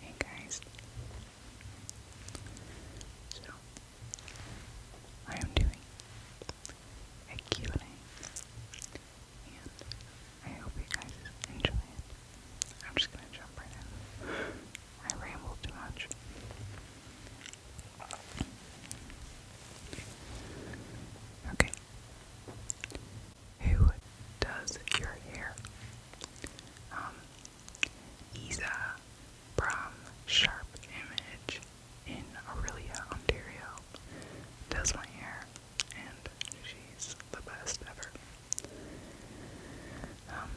Hey guys. So I am doing a and a and I hope you guys enjoy it. I'm just gonna jump right in. I ramble too much. Okay who does your hair? Um, Isa Sharp Image in Aurelia, Ontario, does my hair, and she's the best ever. Um,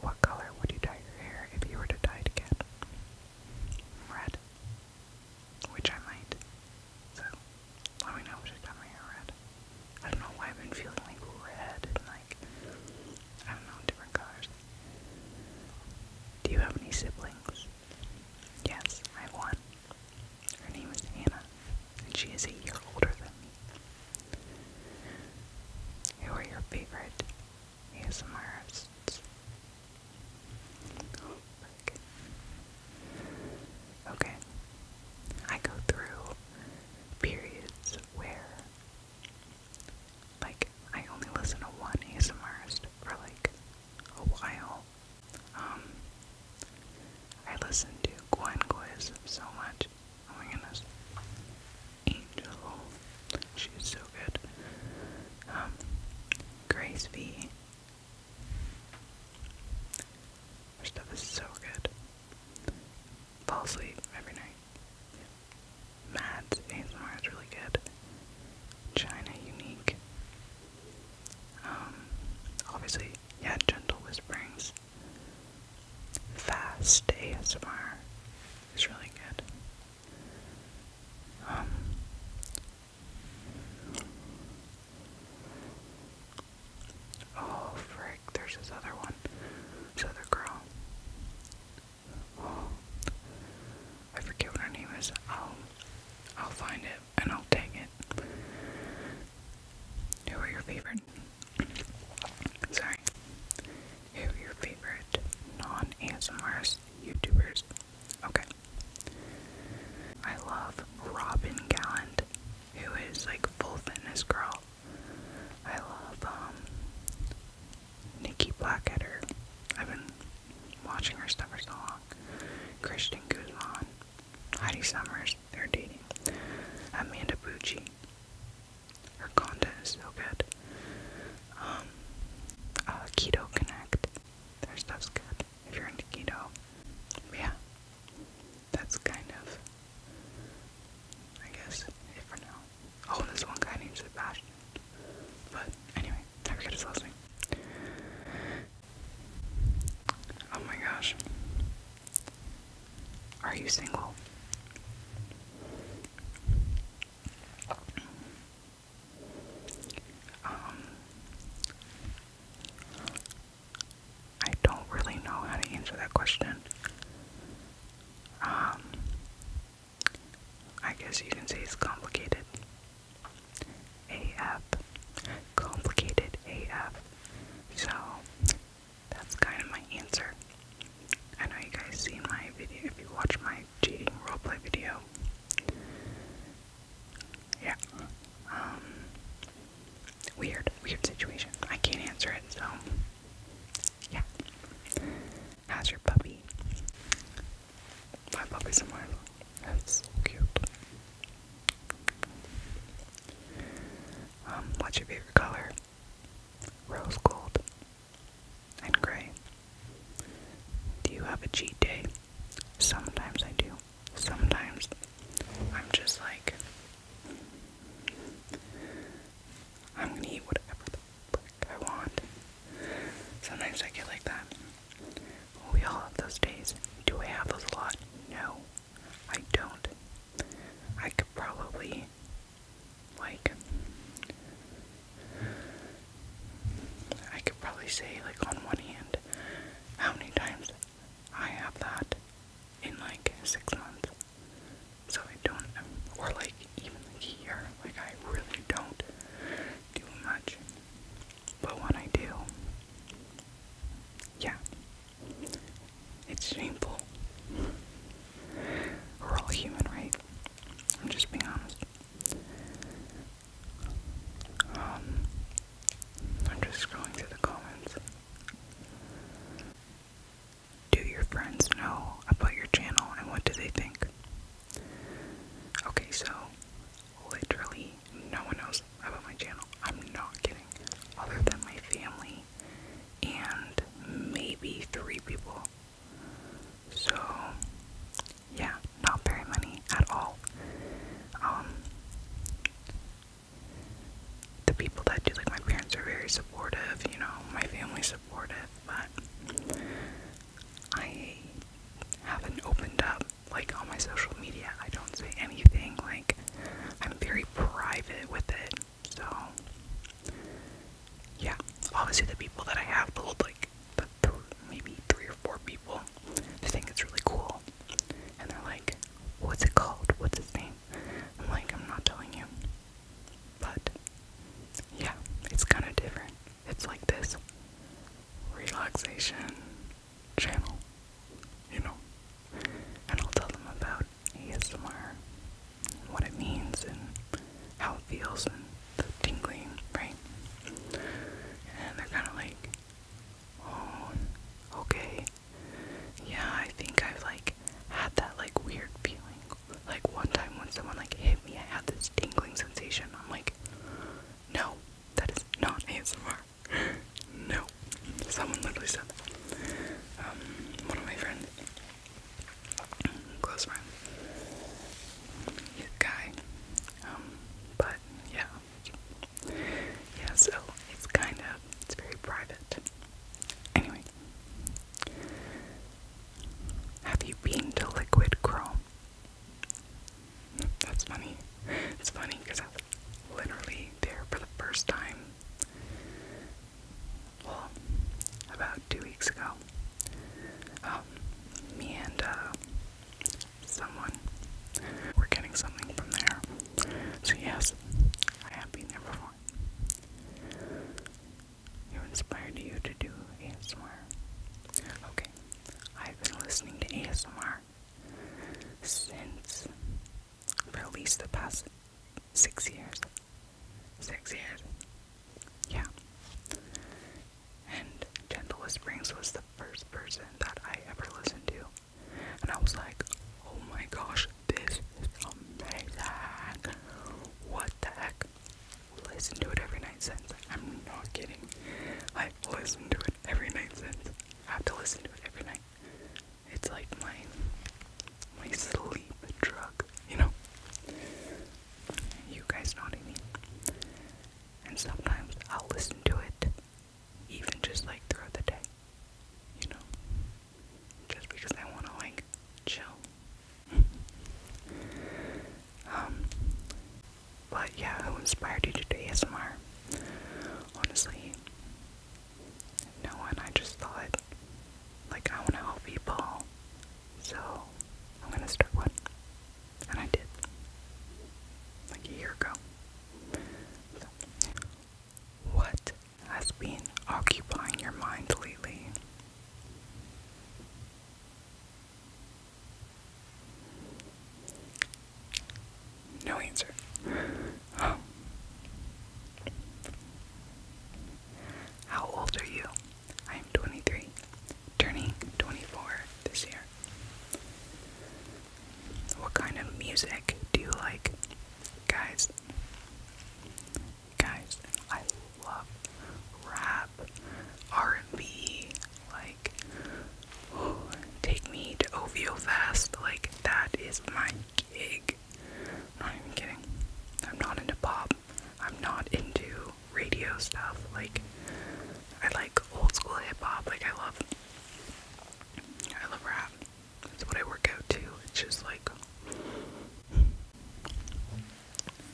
what color would you dye your hair if you were to dye it again? Red, which I might. So I mean, I wish I got my hair red. I don't know why I've been feeling like red and like, I don't know, different colors. Do you have any siblings? Yes, I have one. Her name is Anna, and she is a year older than me. Who are your favorite ASMRs? Okay. I go through periods where like I only listen to one ASMRist for like a while. Um I listen to Gwen Quiz so much. Oh my goodness. Angel. She's so good. Um Grace V. Their stuff is so good. Fall asleep every night. Mads ASMR is really good. China Unique. Um, obviously, yeah, Gentle Whisperings. Fast ASMR is really good. Um, Oh, frick, there's this other one. This other girl. Oh, I forget what her name is. I'll, I'll find it and I'll take it. Who are your favorite? Sorry. Who are your favorite non-ASMRs YouTubers? Okay. I love Robin Gallant who is like full fitness girl. I love um Nikki Blackadder. I've been watching her stuff for so long. Christian Guzman, Heidi Summers, they're dating. Amanda Bucci. Her content is so good. Um, uh, keto Connect. Their stuff's good if you're into keto. yeah that's kind of, I guess, for now. Oh, there's one guy named Sebastian. But anyway, never get his last name. Oh my gosh. Are you single? Um, I don't really know how to answer that question. Um, I guess you can say it's complicated. AF. Complicated AF. So, that's kind of my answer. I know you guys seen my video, if you watch my cheating roleplay video, yeah. Um, weird, weird situation. I can't answer it, so yeah. How's your puppy? My puppy's in my That's so cute. Um, what's your favorite color? Rose gold and gray. Do you have a cheat day? Sometimes I do sometimes I'm just like, I'm gonna eat whatever the frick I want. Sometimes I get like that. We all have those days. Do I have those a lot? No, I don't. I could probably, like, I could probably say, like, on one hand, how many times I have that in like six months. So I don't, or like even like year, like I really don't do much. But when I do, yeah, it's shameful. We're all human, right? I'm just being honest. Um, I'm just scrolling through the comments. Do your friends know about your channel and what do they think? Okay, so literally no one knows about my channel. I'm not kidding. Other than my family and maybe three people. So, yeah, not very many at all. Um, the people that do like my parents are very supportive, you know, my family's supportive, but I haven't opened up like on my social media. I don't say anything, like I'm very private with it. So yeah, obviously the people that I have told like the th maybe three or four people I think it's really cool. And they're like, what's it called? What's its name? I'm like, I'm not telling you. But, yeah, it's kind of different. It's like this relaxation channel, you know? And I'll tell them about ASMR, what it means, and how it feels, and the tingling, right? And they're kind of like, own. Oh, okay. Yeah, I think I've like had that like weird feeling. Like one time when someone like hit me, I had this tingling sensation. I'm like, no, that is not ASMR. no. Someone literally said that. Um, one of my friends, close friend, guy. Um, but yeah, yeah, so it's kind of, it's very private. Anyway, have you been to Liquid Chrome? That's funny. It's funny because I was literally there for the first time. Well, about two weeks ago. Um, me and uh, someone. We're getting something from there. So, yes, I have been there before. Who inspired you to do ASMR? Okay, I've been listening to ASMR since for at least the past six years. Six years. Yeah. And Gentle Whisperings was the first person that I ever listened to. And I was like, oh my gosh, this is amazing. What the heck? Listen to it every night since. I'm not kidding. I listen to it every night since. I have to listen to it every night. It's like my my sleep drug, you know. You guys know what I mean. And sometimes I'll listen to it even just like throughout the day, you know, just because I want to like chill. um, but yeah, who inspired you to do ASMR? Honestly, no one. I just thought, like, I want to help people, so I'm gonna start one. And I did. Like a year ago. What has been occupying your mind lately? No answer. Oh. How old are you? I am 23, turning 24 this year. What kind of music do you like? Guys, guys, I love rap, R&B, like, take me to OVO Fest, like, that is my gig. I'm not even kidding. I'm not into pop. I'm not into radio stuff. Like, I like old school hip hop. Like, I love I love rap. That's what I work out to. It's just like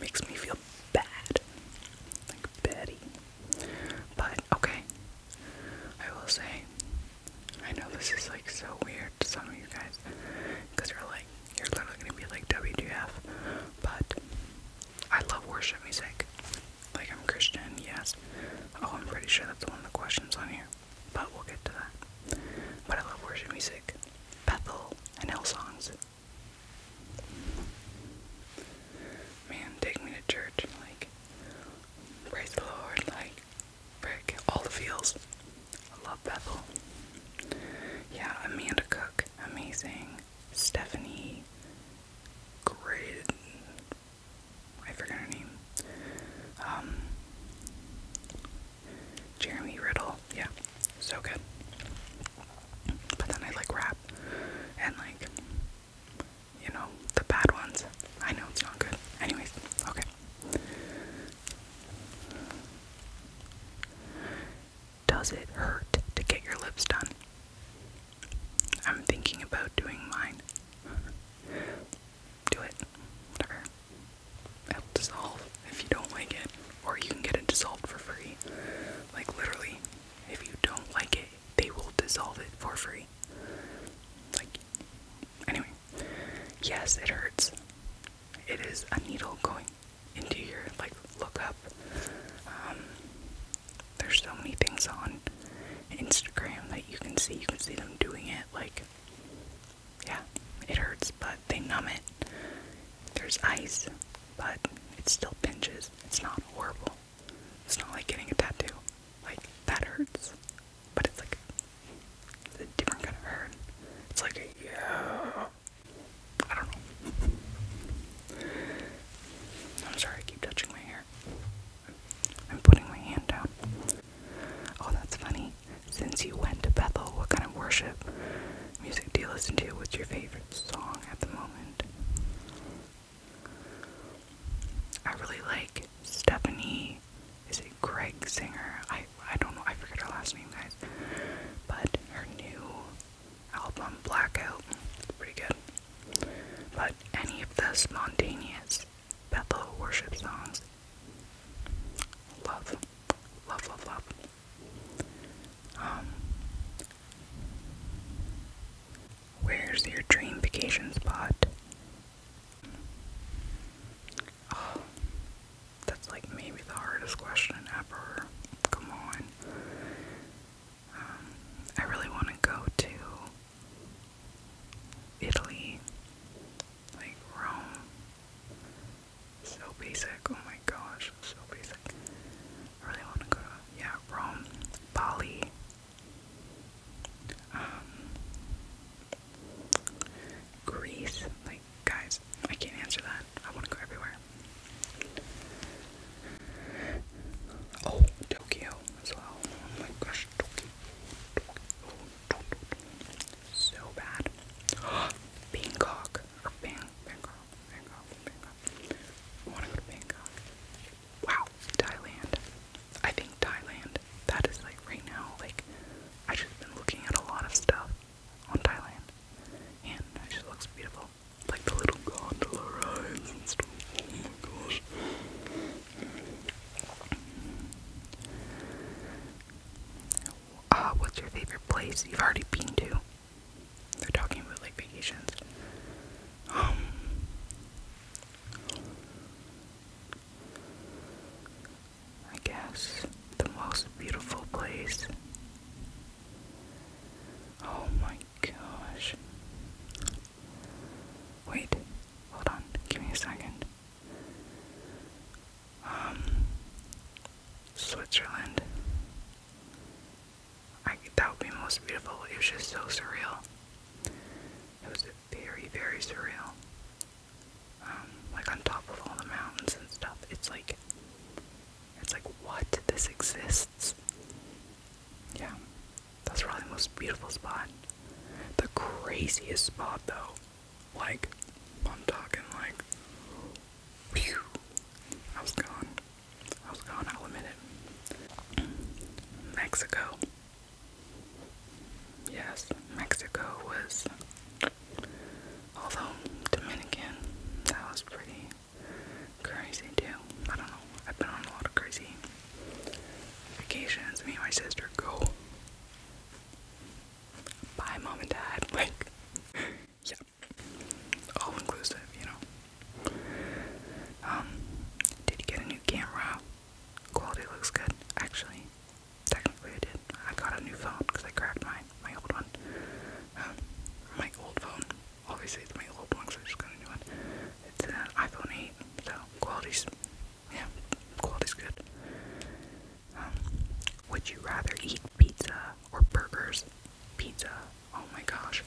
makes me feel bad. Like Betty. But okay. I will say I know this is like so weird to some of you guys because you're like you're literally gonna be like WTF but I love worship music. Like, I'm Christian, yes. Oh, I'm pretty sure that's one of the questions on here. But we'll get to that. But I love worship music. Bethel and Hill songs. Man, take me to church. Like, praise the Lord. Like, break all the feels. I love Bethel. Yeah, Amanda Cook. Amazing. Stephanie Great. I forget her name. Um, Jeremy Riddle. Yeah, so good. But then I like rap and like, you know, the bad ones. I know it's not good. Anyways, okay. Does it hurt to get your lips done? I'm thinking about doing mine. Do it. Whatever. It'll dissolve if you don't like it. Or you can get it dissolved for free. Like, literally, if you don't like it, they will dissolve it for free. Like, anyway. Yes, it hurts. It is a needle going into your, like, look up. Um, there's so many things on Instagram that you can see. You can see them doing it. Like, yeah, it hurts, but they numb it. There's ice, but it still pinches. It's not horrible. It's not like getting a tattoo. Like, that hurts, but it's like a different kind of hurt. It's like a, yeah. I don't know. I'm sorry, I keep touching my hair. I'm putting my hand down. Oh, that's funny. Since you went to Bethel, what kind of worship music do you listen to? What's your favorite song at the moment? I really like Stephanie. Is it Greg Singer? I I don't know. I forget her last name, guys. But her new album Blackout. Pretty good. But any of the spontaneous Bethel worship songs, love, love, love, love. Um, where's your dream vacation spot? Oh, that's like maybe the hardest question ever. Come on. I really want to go to Italy, like Rome. So basic. Oh my gosh, so basic. I really want to go yeah Rome, Bali. Um, Greece. Like guys, I can't answer that. I want to go everywhere. Oh, Tokyo as well. Oh my gosh, Tokyo. Tokyo. So bad. Bangkok. Bangkok. Bangkok. Bangkok. Bangkok. Wow. Thailand. I think Thailand. That is like right now, like I just been looking at a lot of stuff on Thailand. And it just looks beautiful like the little gondola rides and stuff. Oh my gosh. Uh, what's your favorite place you've already been to? They're talking about like vacations. Um, I guess the most beautiful place. Oh my gosh. Wait, hold on, give me a second. Um, Switzerland. I, that would be most beautiful. It was just so surreal. It was very, very surreal. Um, like on top of all the mountains and stuff. It's like it's like, what? This exists? Yeah, that's probably the most beautiful spot. The craziest spot, though. Like, I'm talking like, I was gone. I was gone, I'll admit it. Mexico. Yes, Mexico was, although Dominican, that was pretty crazy too. I don't know. I've been on a lot of crazy vacations. Me and my sister go. Bye, mom and dad. Like, yeah, all inclusive, you know. Um, did you get a new camera? Quality looks good, actually. Technically, I did. I got a new phone because I cracked my my old one. Um, my old phone obviously it's my old one, so I just got a new one. It's an uh, iPhone 8, so quality's, yeah, quality's good. Um, would you rather eat pizza or burgers? Pizza, oh my gosh,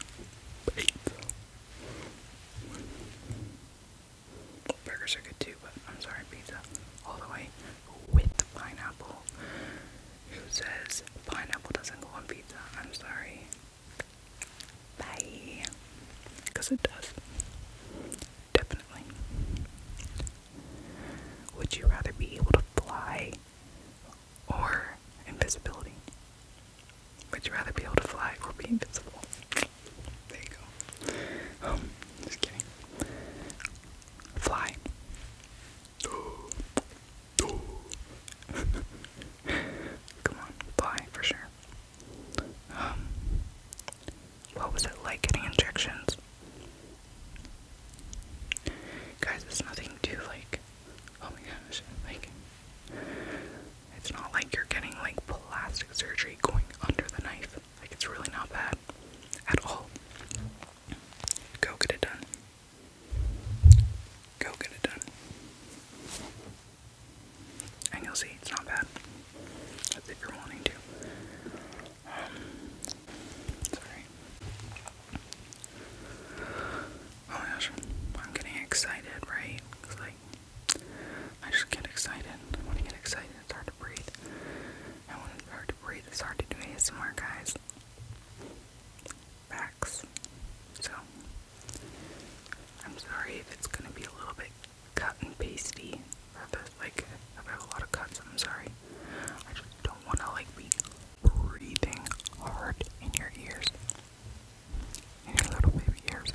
Burgers are good too, but I'm sorry, pizza all the way with pineapple who says pineapple doesn't go on pizza. I'm sorry. Bye. Because it does. Definitely. Would you rather be able to fly or invisibility? Would you rather be able to fly or be invisible? There you go. Um, just kidding. Fly. Come on, fly for sure. Um, what was it like getting injections? Guys, it's nothing too like. Oh my gosh, like. It's not like you're getting like plastic surgery going under the knife. Like, it's really not bad at all. Go get it done. Go get it done. And you'll see it's not bad. That's if you're wanting to. Um, sorry. Oh my gosh, I'm getting excited, right? Cause like, I just get excited. I want to get excited. It's hard to breathe. I want to hard to breathe. It's hard to do more, guys backs. So I'm sorry if it's gonna be a little bit cut and pasty. like I have a lot of cuts, I'm sorry. I just don't wanna like be breathing hard in your ears. In your little baby ears.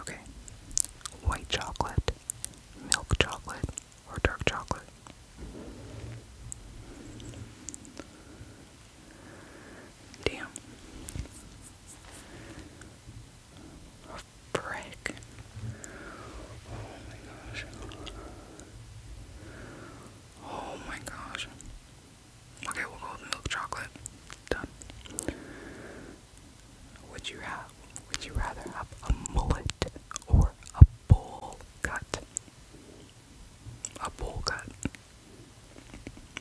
Okay. White chocolate, milk chocolate, or dark chocolate. Damn. A frick. Oh my gosh. Oh my gosh. Okay, we'll go with milk chocolate. Done. Would you have would you rather have a mullet or a bowl cut. A bowl cut.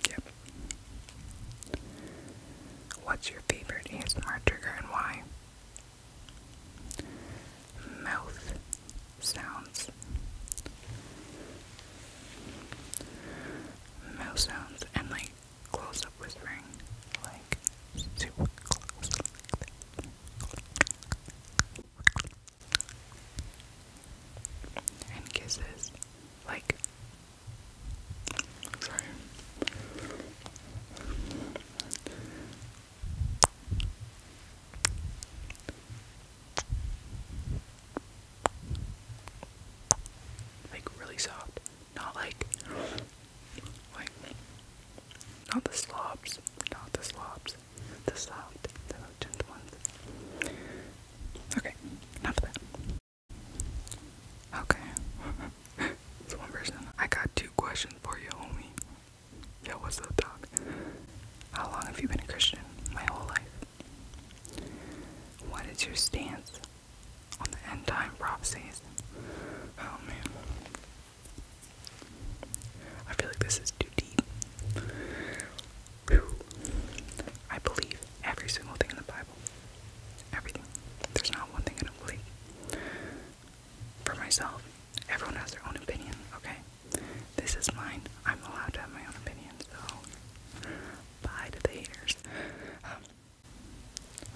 Yep. What's your favorite ASMR trigger and why? Mouth sounds. Mouth sounds and like close up whispering. Like super close. And kisses. Like, sorry. Like, really soft. Not like. Like, not the slobs, not the slobs, the soft, the gentle ones. Okay, enough of that. Okay, it's one person. I got two questions for you homie. Yo, what's up, dog? How long have you been a Christian? My whole life. What is your stance on the end time prophecies? Oh man. I feel like this is too deep. I believe every single thing in the Bible. Everything. There's not one thing I don't believe. For myself, everyone has their own opinion, okay? This is mine. I'm allowed to have my own opinion, so bye to the haters. Um,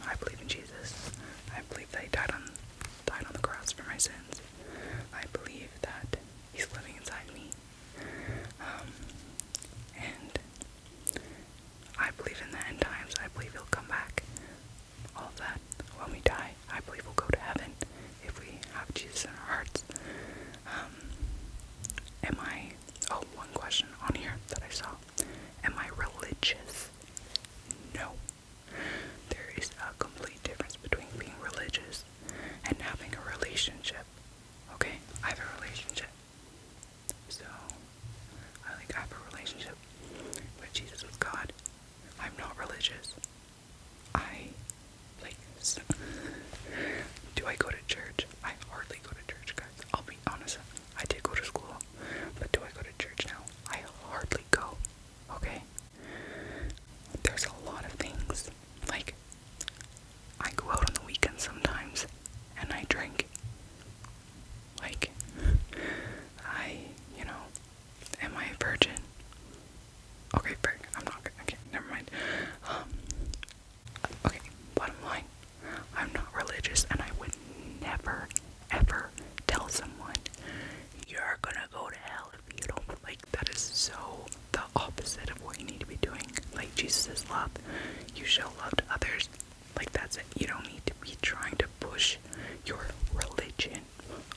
I believe in Jesus. I believe that He died on died on the cross for my sins. I believe that He's living inside me, um, and I believe in the end times. I believe He'll come back. All of that. When we die, I believe we'll go to heaven if we have Jesus in our hearts. Um, am I? Oh, one question on here that I saw. Am I religious? No, there is a complete difference between being religious and having a relationship. Okay? I have a relationship. So, I like have a relationship with Jesus, with God. I'm not religious. I, like, do I go to church? I hardly go to church, guys. I'll be honest. I did go to school, but do I go to church now? I hardly go, okay? There's a lot of things. Like, I go out on the weekends sometimes and I drink. Like, I, you know, am I a virgin? Okay, virgin. I'm not okay, never mind. Um, okay, bottom line, I'm not religious and I would never ever tell someone you're gonna go to hell if you don't like that is so the opposite of what you need to be doing. Like Jesus is love. You show love others. Like that's it. You don't need to be trying to push your religion.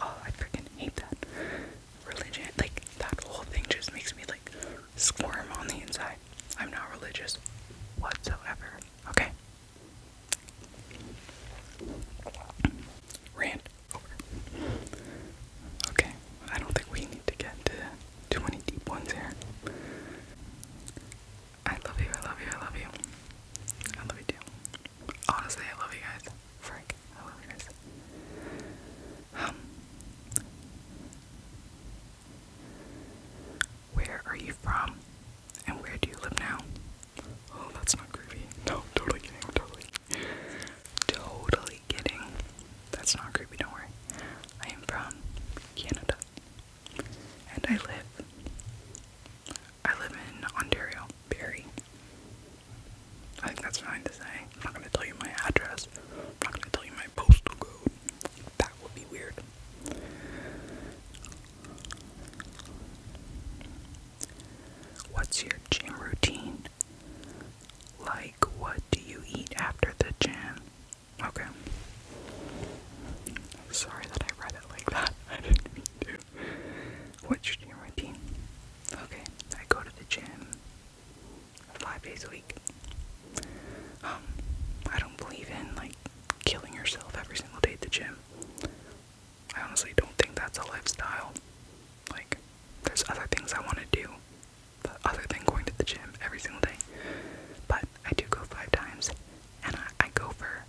Oh, I freaking hate that. Religion. Like that whole thing just makes me like squirm on the inside. I'm not religious whatsoever. Okay. Ran Okay, I don't think we need to get to too many deep ones here. I love you, I love you, I love you. I love you too. Honestly, I love you guys. Frank, I love you guys. Um, where are you from? And where do you live now? Oh, that's not creepy. No, totally kidding. Totally, totally kidding. That's not creepy. Don't worry. I am from Canada, and I live. I live in Ontario, Barrie. I think that's fine to say. I'm not gonna tell you my address. I'm not gonna tell you my postal code. That would be weird. What's your gym routine? Like, what do you eat after the gym? Okay. I'm sorry that I read it like that. I didn't mean to. What's your gym routine? Okay, I go to the gym five days a week. Um, I don't believe in like killing yourself every single day at the gym. I honestly don't think that's a lifestyle. Like, there's other things I want to do, other than going to the gym every single day. But I do go five times, and I, go for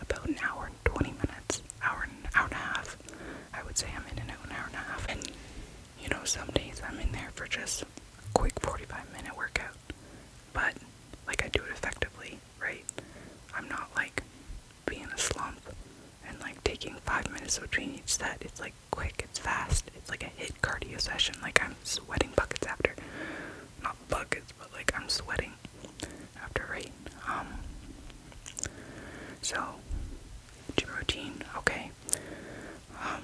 about an hour and 20 minutes, hour hour and a half. I would say I'm in and out an hour and a half. And you know, some days I'm in there for just a quick 45 minute workout, but like I do it effectively right? I'm not like being a slump and like taking five minutes between each set. It's like quick, it's fast, it's like a hit cardio session. Like I'm sweating buckets after, not buckets, but like I'm sweating after, right? Um, so gym routine, okay. Um,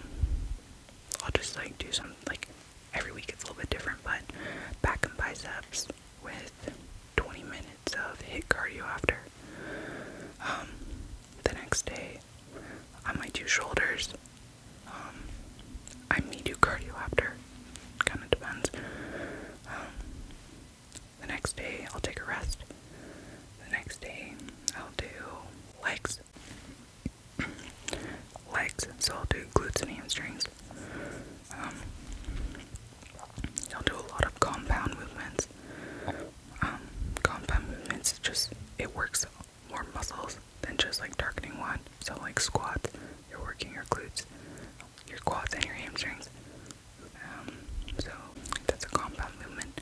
I'll just like do some like every week it's a little bit different, but back and biceps with 20 minutes of hit cardio after. Um, the next day, I might do shoulders. Um, I may do cardio after. Kind of depends. Um, the next day, I'll take a rest. The next day, I'll do legs legs, so I'll do glutes and hamstrings. Um, I'll do a lot of compound movements. Um, compound movements just it works more muscles than just like targeting one. So like squats, you're working your glutes, your quads, and your hamstrings. Um, so that's a compound movement.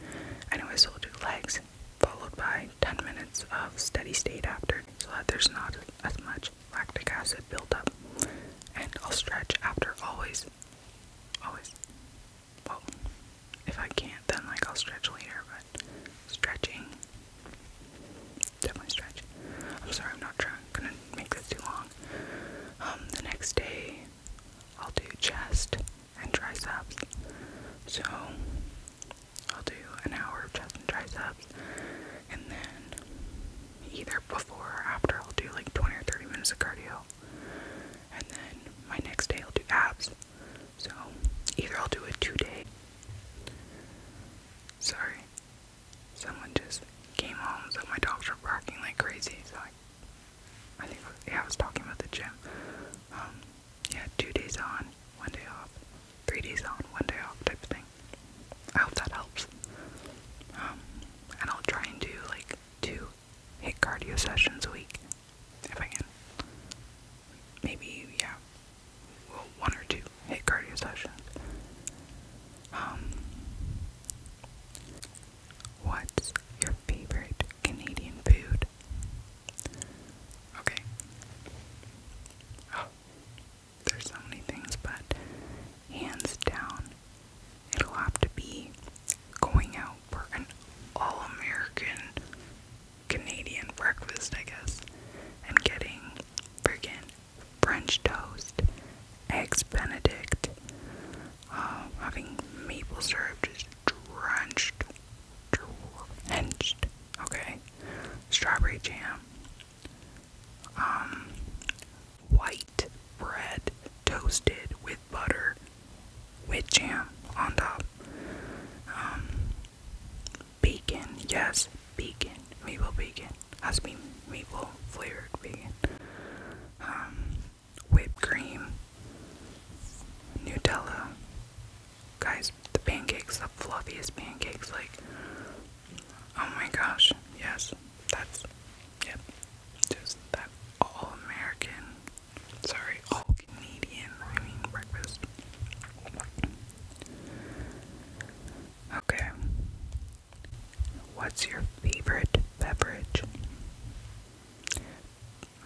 Anyway, so I'll do legs followed by 10 minutes of steady state after so that there's not as much much lactic acid buildup, and I'll stretch after always. Always. Well, if I can't, then like I'll stretch later, but stretching. Definitely stretch. I'm sorry, I'm not trying, gonna make this too long. Um, the next day, I'll do chest and triceps. So, I'll do an hour of chest and triceps, and then either before or after, I'll do like 20 or 30 minutes of cardio. And then my next day, I'll do abs. So either I'll do a two day. Sorry, someone just came home, so my dogs are barking like crazy. So I, I think yeah, I was talking about the gym. Um, yeah, two days on, one day off, three days on, one day off type of thing. I hope that helps. Um, and I'll try and do like two hit cardio sessions a week if I can. Maybe, yeah, one or two hit cardio sessions. Um, what's your favorite Canadian food? Okay. Oh, there's so many things, but hands down, it'll have to be going out for an all American Canadian breakfast, I guess, and getting friggin' French toast, eggs Benedict, uh, having maple syrup just drenched Henched. Okay. Strawberry jam. Um white bread toasted with butter with jam on top. Um bacon, yes, bacon, maple bacon. Has to maple flavored bacon. Um whipped cream, Nutella, guys, the pancakes, the fluffiest pancakes, like, oh my gosh, yes, that's, yep, just that all American, sorry, all Canadian, I mean, breakfast. Okay, what's your favorite beverage?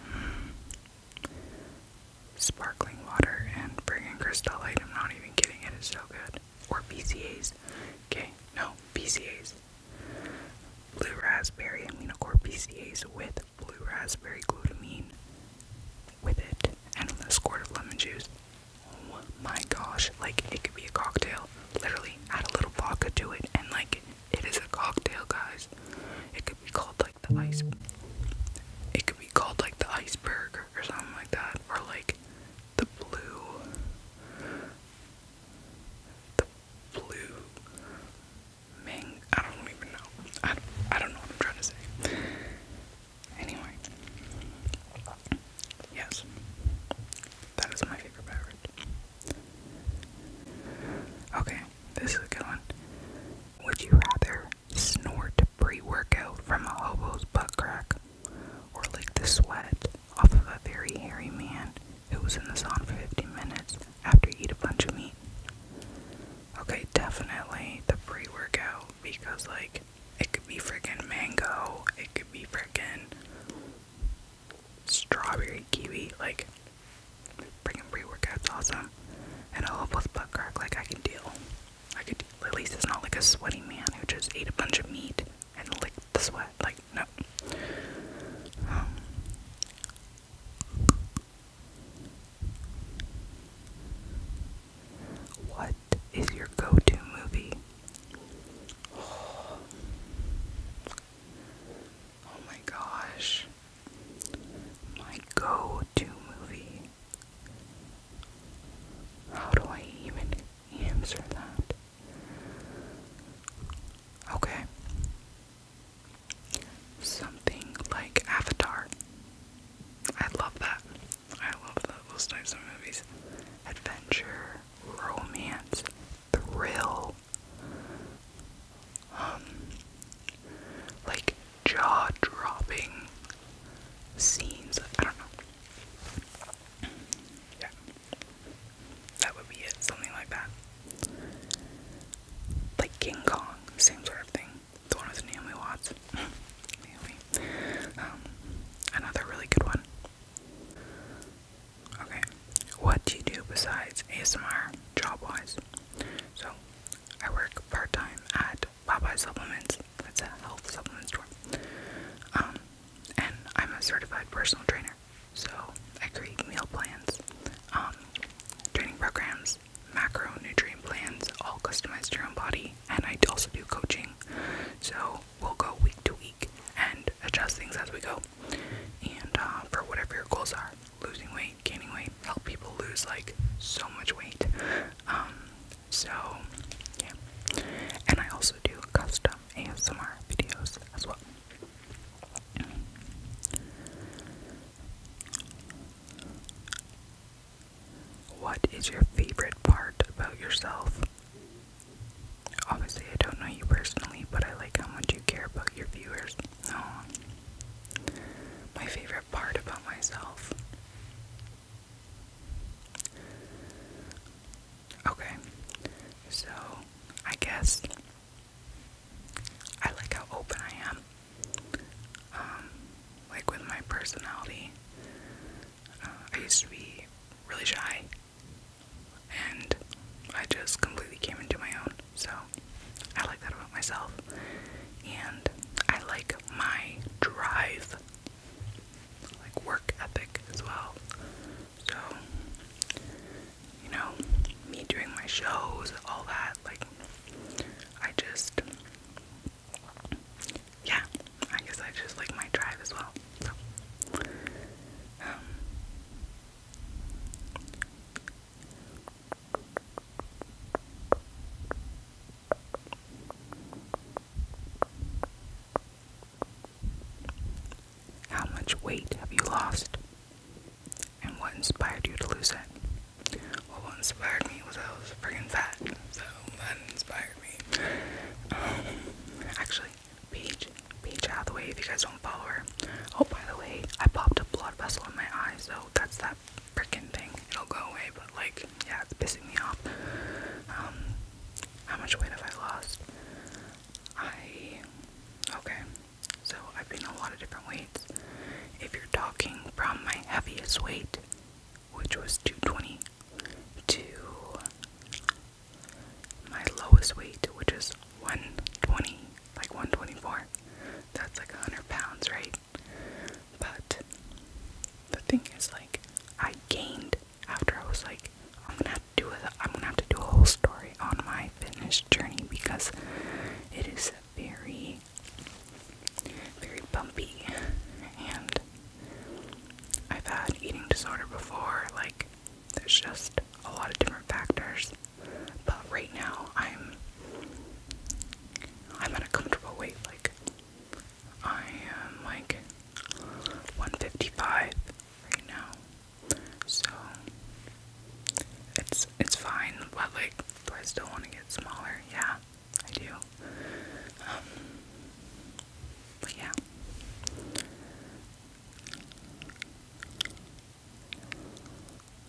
Hmm. Sparkling water and bringing Crystal Light. I'm not even kidding. It is so good. Or BCAs. Okay, no, BCAs. Blue raspberry aminocore BCAs with blue raspberry glutamine with it and a squirt of lemon juice. Oh my gosh, like it could be a cocktail. Literally add a little vodka to it and like it is a cocktail, guys. It could be called like the ice. It could be called like the iceberg or something like that, or like the blue, the blue Ming. I don't even know. I I don't know what I'm trying to say. Anyway, yes, that is my favorite beverage. Okay, this is a good one. Would you rather snort pre workout from a hobo's butt crack, or lick the sweat off of a very hairy man who was in the sun for 15 minutes after you eat a bunch of meat. Okay, definitely the pre workout because, like, it could be freaking mango, it could be freaking strawberry kiwi, like, freaking pre workout's awesome. And a hobo's butt crack, like, I can deal. I could at least it's not like a sweaty man who just ate a bunch of meat and licked the sweat. Like no. Um, what is your go-to movie? oh my gosh. My go-to movie. How do I even answer that? Okay. Something like Avatar. I love that. I love that, those types of movies. Adventure, romance, thrill. Um, like jaw dropping scenes. I don't know. Yeah. That would be it, something like that. Like King Kong, same sort of thing. The one with Naomi Watts. Naomi. Um, another really good one. Okay. What do you do besides ASMR job wise? So I work part time at Popeye Supplements. That's a health supplements store. Um, and I'm a certified personal trainer, so I create meal plans, um, training programs, macro nutrient plans, all customized to your own body. And I also do coaching, so we'll go week to week and adjust things as we go. And uh, for whatever your goals are, losing weight weight, help people lose like so much weight. Um, so yeah, and I also do custom ASMR videos as well. What is your favorite part about yourself? Obviously, I don't know you personally, but I like how much you care about your viewers. No. Oh, my favorite part about myself. Okay. So, I guess I like how open I am. Um, like with my personality, uh, I used to be really shy, and I just completely came into my own. So I like that about myself. And I like my drive, like work ethic as well. So, you know, me doing my shows, all that, like, I just, yeah, I guess I just like my drive as well. Um, how much weight have you lost? And what inspired you to lose it? Well, what inspired me was I was friggin' fat, so that inspired me. Actually, Um, actually, out the way. if you guys don't follow her. Oh, by the way, I popped a blood vessel in my eye, so that's that freaking thing. It'll go away, but like, yeah, it's pissing me off. Um, how much weight have I lost? I, okay, so I've been a lot of different weights. If you're talking from my heaviest weight, which was 220, to my lowest weight, which is 120, like 124, that's like 100 pounds, right? But the thing is, like, I gained after I was like, I'm gonna have to do a, I'm gonna have to do a whole story on my fitness journey because it is very, very bumpy, and I've had eating disorder before. Like, there's just a lot of different factors. But right now, I'm I'm at a comfortable weight. Like I am like 155 right now, so it's it's fine. But like, I still want to get smaller? Yeah, I do. Um, but yeah.